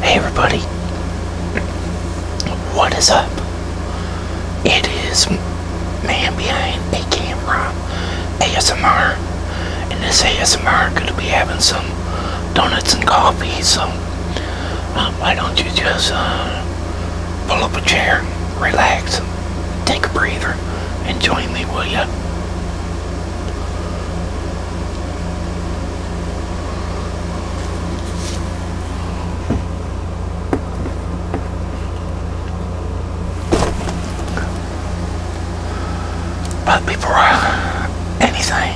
Hey everybody, what is up? It is Man Behind a Camera ASMR, and this ASMR gonna be having some donuts and coffee, so um, why don't you just uh, pull up a chair, relax, take a breather, and join me, will you? But before anything,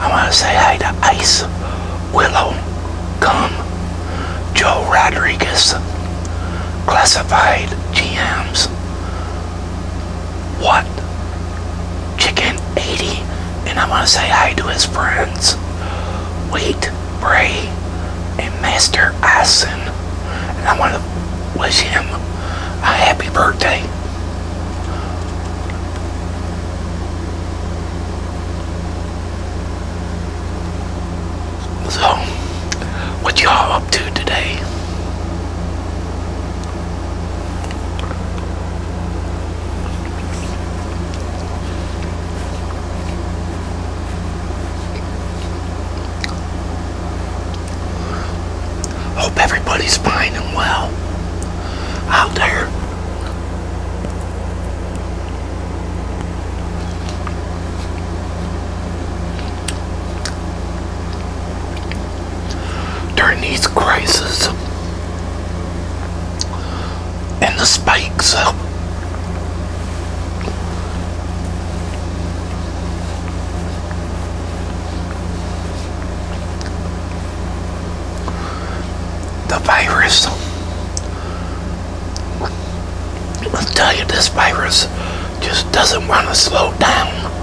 I want to say hi to Ice, Willow, Gum, Joe Rodriguez, Classified GMs, what? Chicken 80? And I want to say hi to his friends. Wait Bray, and Master Ison. And I want to wish him a happy birthday. So, what y'all up to today? Hope everybody's fine and well out there during these crises and the spikes. The virus. I'll tell you, this virus just doesn't want to slow down.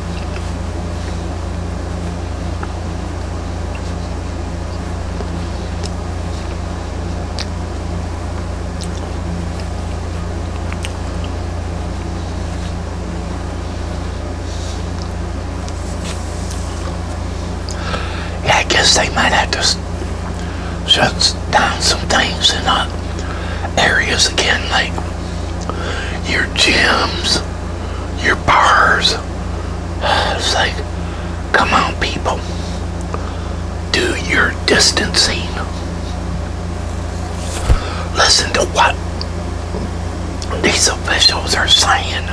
Yeah, I guess they might have to shut down some things in uh, areas again, like your gyms, your bars. It's like, come on, people, do your distancing. Listen to what these officials are saying.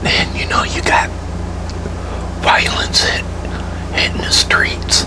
Man, you know you got violence hit, hitting the streets.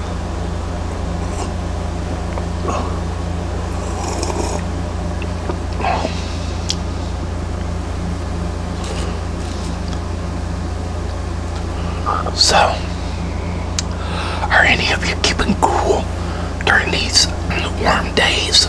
So, are any of you keeping cool during these warm days?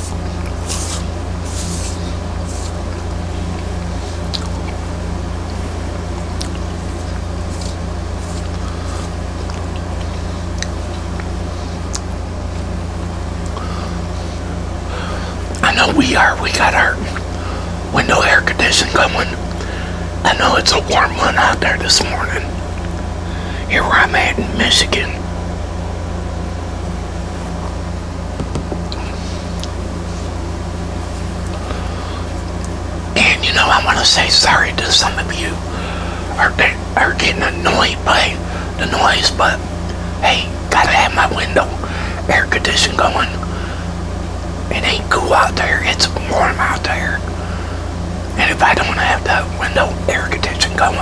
I know we are. We got our window air conditioning going. I know it's a warm one out there this morning. Here where I'm at in Michigan. And you know, I want to say sorry to some of you are, are getting annoyed by the noise, but hey, gotta have my window air condition going. It ain't cool out there, it's warm out there. And if I don't have that window air condition going,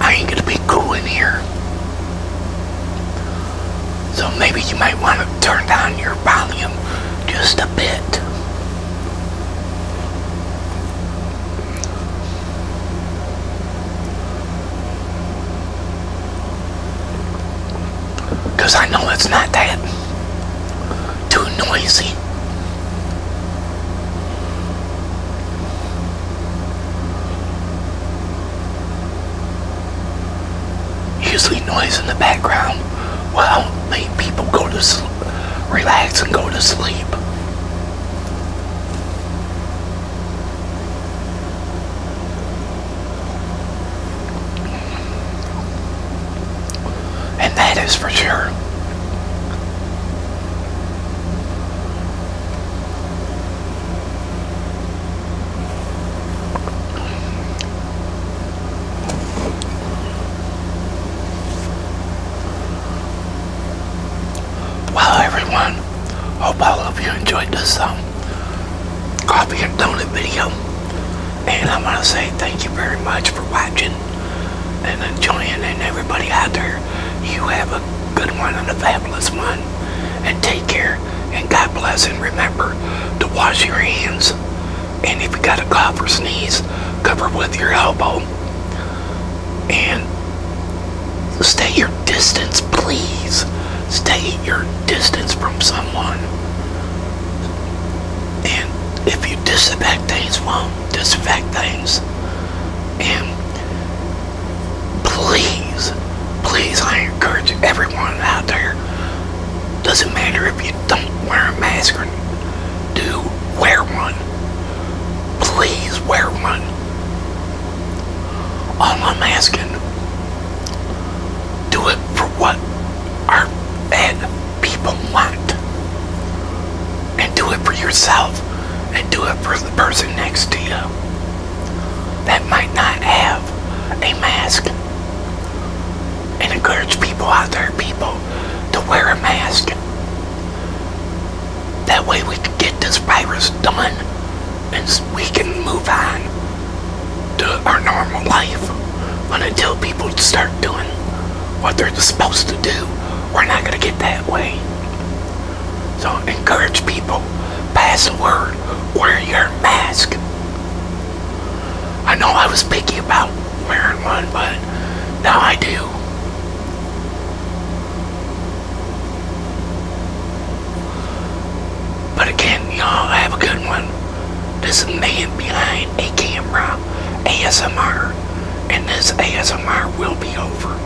I ain't gonna be cool in here. So maybe you might want to turn down your volume just a bit. Because I know it's not that too noisy. Usually noise in the background will help people go to sleep, relax and go to sleep. And that is for sure. Well, everyone, hope all of you enjoyed this um, coffee and donut video. And I want to say thank you very much for watching and enjoying. And everybody out there, you have a good one and a fabulous one. And take care. And God bless. And remember to wash your hands. And if you got a cough or sneeze, cover with your elbow. And stay your distance, please. Stay your distance from someone. And if you disinfect things, well, disinfect things. And please, please, I encourage everyone out there. Doesn't matter if you don't wear a mask or do wear one. Please wear one. All I'm asking, do it for what our fed people want. And do it for yourself. And do it for the person next to you that might not have a mask and encourage people out there, people, to wear a mask. That way we can get this virus done and we can move on to our normal life. But until people start doing what they're supposed to do, we're not going to get that way. So encourage people, pass the word, wear your mask. I know I was picky about wearing one, but now I do. But again, y'all have a good one. This is man behind a camera, ASMR, and this ASMR will be over.